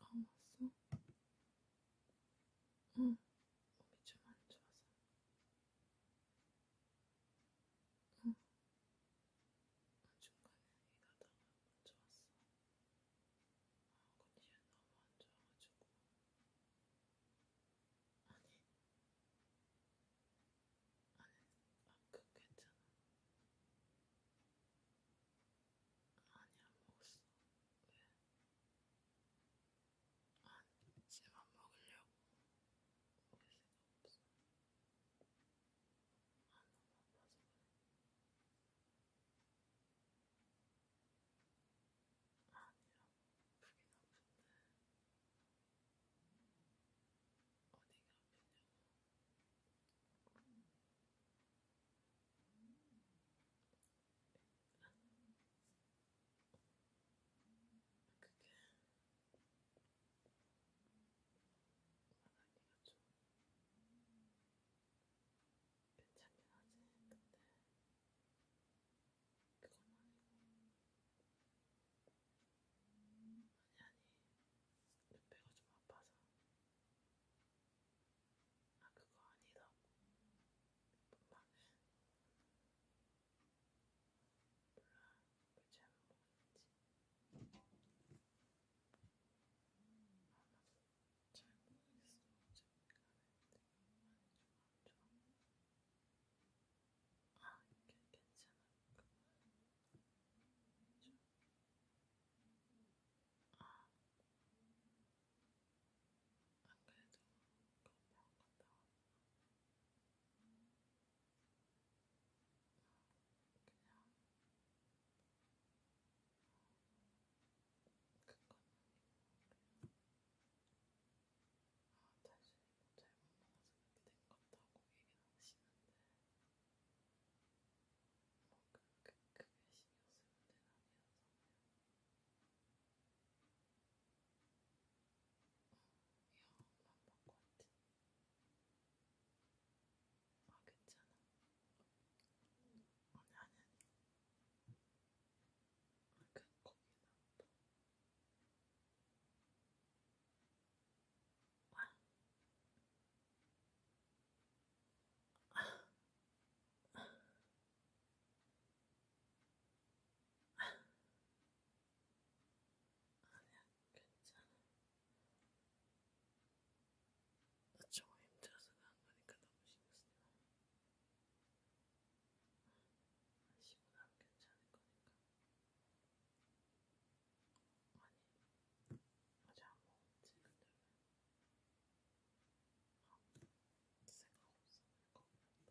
아 왔어? 응 몸이 좀안 좋아서 응 중간에 일하다가 먼저 왔어 아 컨디션 너무 안 좋아가지고 아니 아니, 아그 괜찮아. 아니, 안 먹었어. 왜? 아니, 쟤만 먹으려고. 먹을 생각 없어. 아, 너무 아파서 그래. 아니야, 아프긴 아픈데. 어디가 아프냐고. 그게 말하기가 좀 괜찮긴 하지. 근데 그건 아니고 아니 아니 눈배가 좀 아파서 아 그거 아니라고 엄마는 몰라 왜 잘못 먹었는지 아나도 잘 모르겠어 어차피 가는데 엄마는 좀안 좋아 아, 괜찮았구만. 좀. 아, 안 그래도 건강 갔다 왔어. 그냥 그건 아니고 그냥 아, 단순히 뭐 잘못 나가서 그렇게 된 같다고 얘기는 하시는데 뭐 그렇게 크게 신경 쓸 문제는 아니어서 그냥 어, 야, 안 바꿔 왔지 아, 괜찮아 아니, 어, 아니, 아니 아, 그 거기는 또 아니야, 괜찮아. 나 정말 힘들어서 그런 거니까 너무 신경 쓰지 마. 아시고 나면 괜찮을 거니까. 아니, 아직 안 먹었지, 근데 왜? 아, 생각 없어, 이거. 아니, 나 먹고 싶지 않아. 먹다니까. 괜찮을 것 같은데.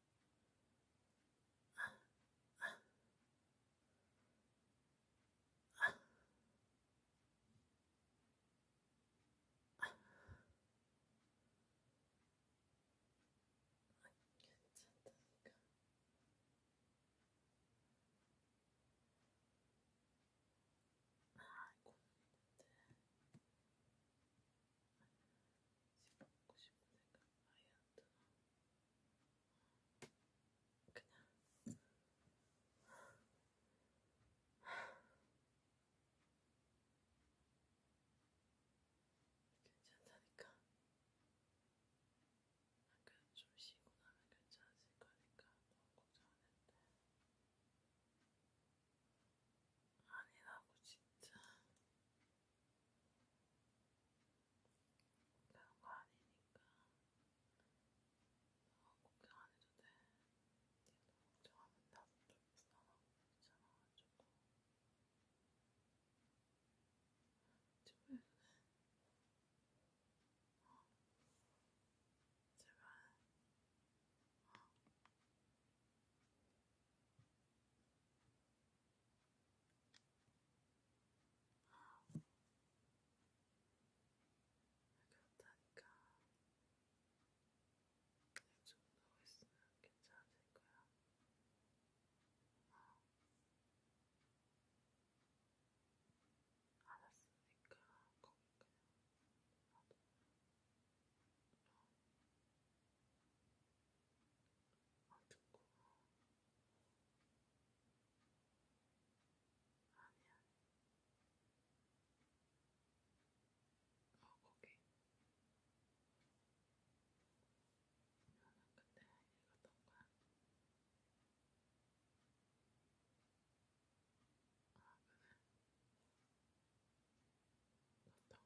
아이언 그냥 괜찮다니까. 약간 아, 좀 쉬고 나면 괜찮아질 거니까 너무 걱정 안 해도 돼. 아니라고 진짜. 그런 거 아니니까 어, 걱정 안 해도 돼. 니도 걱정하면 나도 좀 불안하고 귀찮아가지고 집에 어 제발 어. 그렇다니까. 좀 누워 있으면 괜찮아질 거야. 어. 알았으니까 거기 그냥 나도. 어. 안 듣고 아니야. 어, 거기. 나는 그때 읽었던 거야. 아, 그래. 나 다음 날 읽어줘서 어떡해.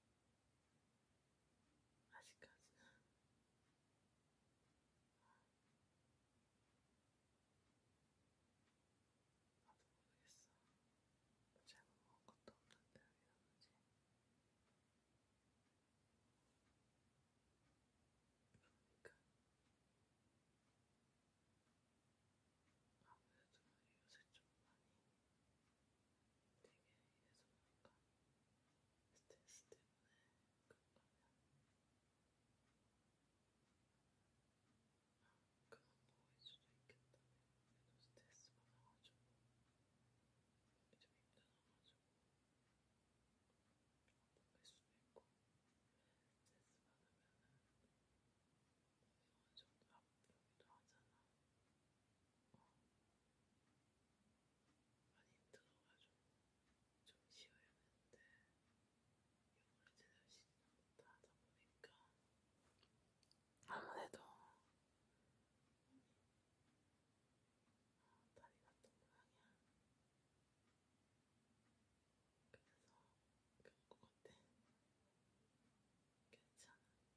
아직까지는 나도 모르겠어. 잘못 먹은 것도 없는데 왜 이러는지. 그러니까 아무래도 요새 좀 많이 되게 이래서 보니까 스트레스 때문에 그런거면 그만 보일 수도 있겠다. 그래도 스트레스 받아가지고 좀 힘들어가지고 안보일 수도 있고 스트레스 받으면은 어느 정도 힘들기도 하잖아. 어. 많이 힘들어가지고 좀 쉬어야 되는데 영어를 제대로 쉬지는 못하다 보니까 아무래도 어, 아, 다리 같은 모양이야. 그래서 그럴 것 같아. 괜찮아.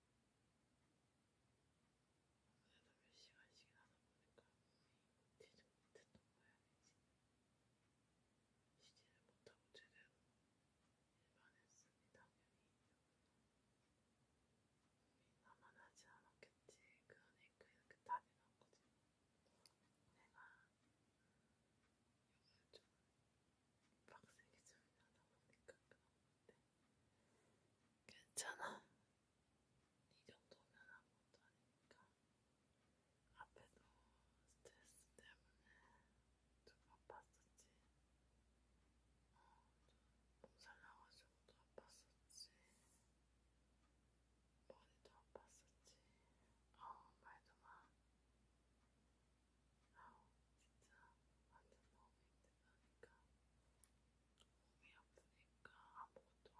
그래도 몇 시간씩이나 하다 보니까 뛰지 못했던 모양이지. 쉬지를 못하고 제대로 일반했으니 당연히 몸이 나만 하지 않았겠지. 그러니까 이렇게 그 다리 난거지. 내가 여기를 좀 빡세게 소리 나다 보니까 그런건데 괜찮아 이 정도면 아무것도 아니니까 앞에도 스트레스 때문에 좀 아팠었지 어, 몸살 나가지고도 아팠었지 머리도 아팠었지 어 말도 마 아우 진짜 완전 너무 힘들다니까 몸이 아프니까 아무것도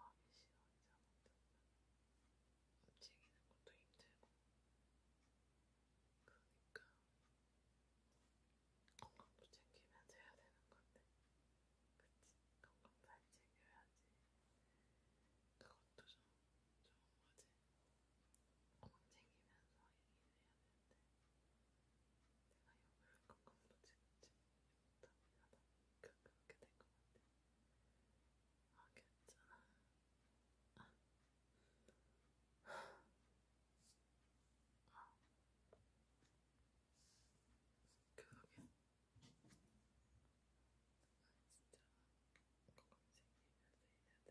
하기 싫어 이제 아무것도 움직이는 것도 힘들고 그러니까 건강도 챙기면서 해야 되는 건데 그치? 건강 잘 챙겨야지 그것도 좀 좋은 거지 건강 챙기면서 일을 해야 되는데 내가 욕을 꺾음도 지금지 못하다 보니까 그렇게 된것 같아. 아 괜찮아. 아. 아. 그러게. 아 진짜 건강 챙기면서 해야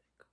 될것 같아.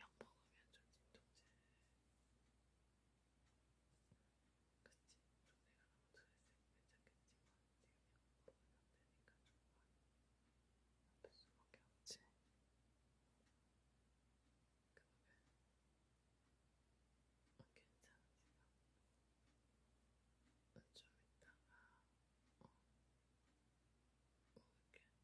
약 먹으면 좀 진통제. 그치? 내가 너무 잘했으면 괜찮겠지만 지금 약 먹으면 안 되니까 정말 아플 수밖에 없지. 그러게. 아, 괜찮지만. 좀 이따가 어, 어 이렇게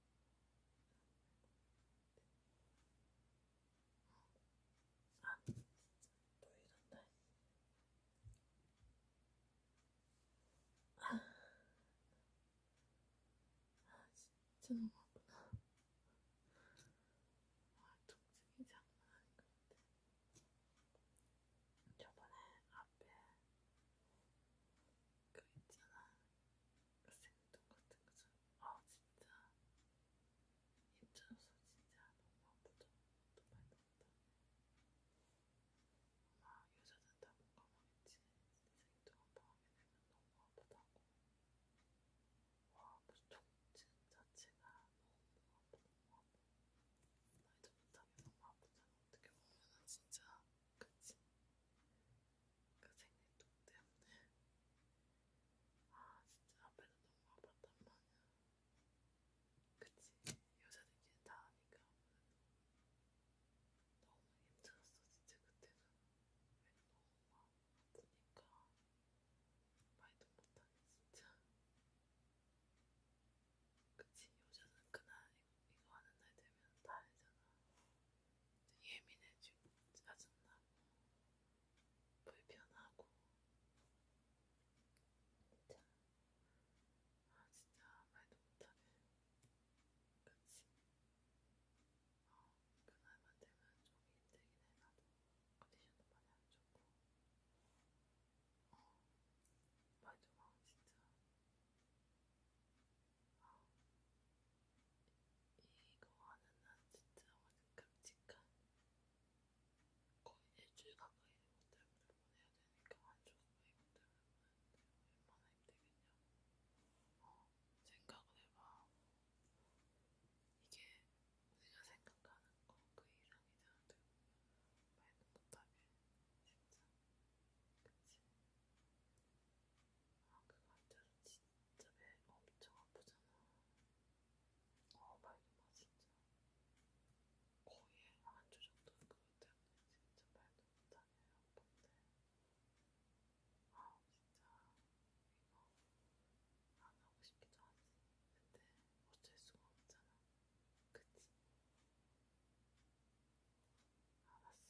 아, 보이던데? 아, 아 진짜 너무하구나. 아, 통증이 장난 아닌 것 같아. 저번에 앞에 그 있잖아. 생뚱 같은 거죠. 아 진짜 입자로서 진짜 너무 아프죠. 또 말도 못하네. 아마 여자는 다 공감하겠지. 생뚱한 방에는 너무 아프다고. 와 무슨 통증 자체가 너무 아프고 너무 아프고. 나이도 못하게 너무 아프잖아. 어떻게 보면은 진짜 그치? 그 생일 돈 때문에 아 진짜 앞에는 너무 아팠단 말이야 그치 여자들끼리 다 하니까 아무래도 너무 힘들었어 진짜 그때는 왜 너무 아프니까 말도 못하네 진짜 그치 여자는 그날 이거 하는 날 되면 다 알잖아 예민해지고 짜증나고 불편하고 진짜 아 진짜 말도 못하네 그치 어 그날만 되면 좀 힘들긴 해 나도 컨디션도 많이 안 좋고 어 말도 막 진짜 이거 하는 한 진짜 완전 끔찍한 거의 일주일 가까이 이것 때문에 보내야 되니까 한 주가 이것 때문에 보내는데 얼마나 힘들겠냐. 어, 생각을 해봐. 이게 우리가 생각하는 거 그 이상이잖아. 말도 못하게 진짜. 그치? 아 그거 앉아서 진짜 진짜 배 엄청 아프잖아. 어, 말도 마, 진짜. 거의 한 주 정도 그것 때문에 진짜 말도 못하네, 아픈데. 아, 진짜. 이거 안 하고 싶기도 하지. 근데 어쩔 수가 없잖아. 그치? 알았어.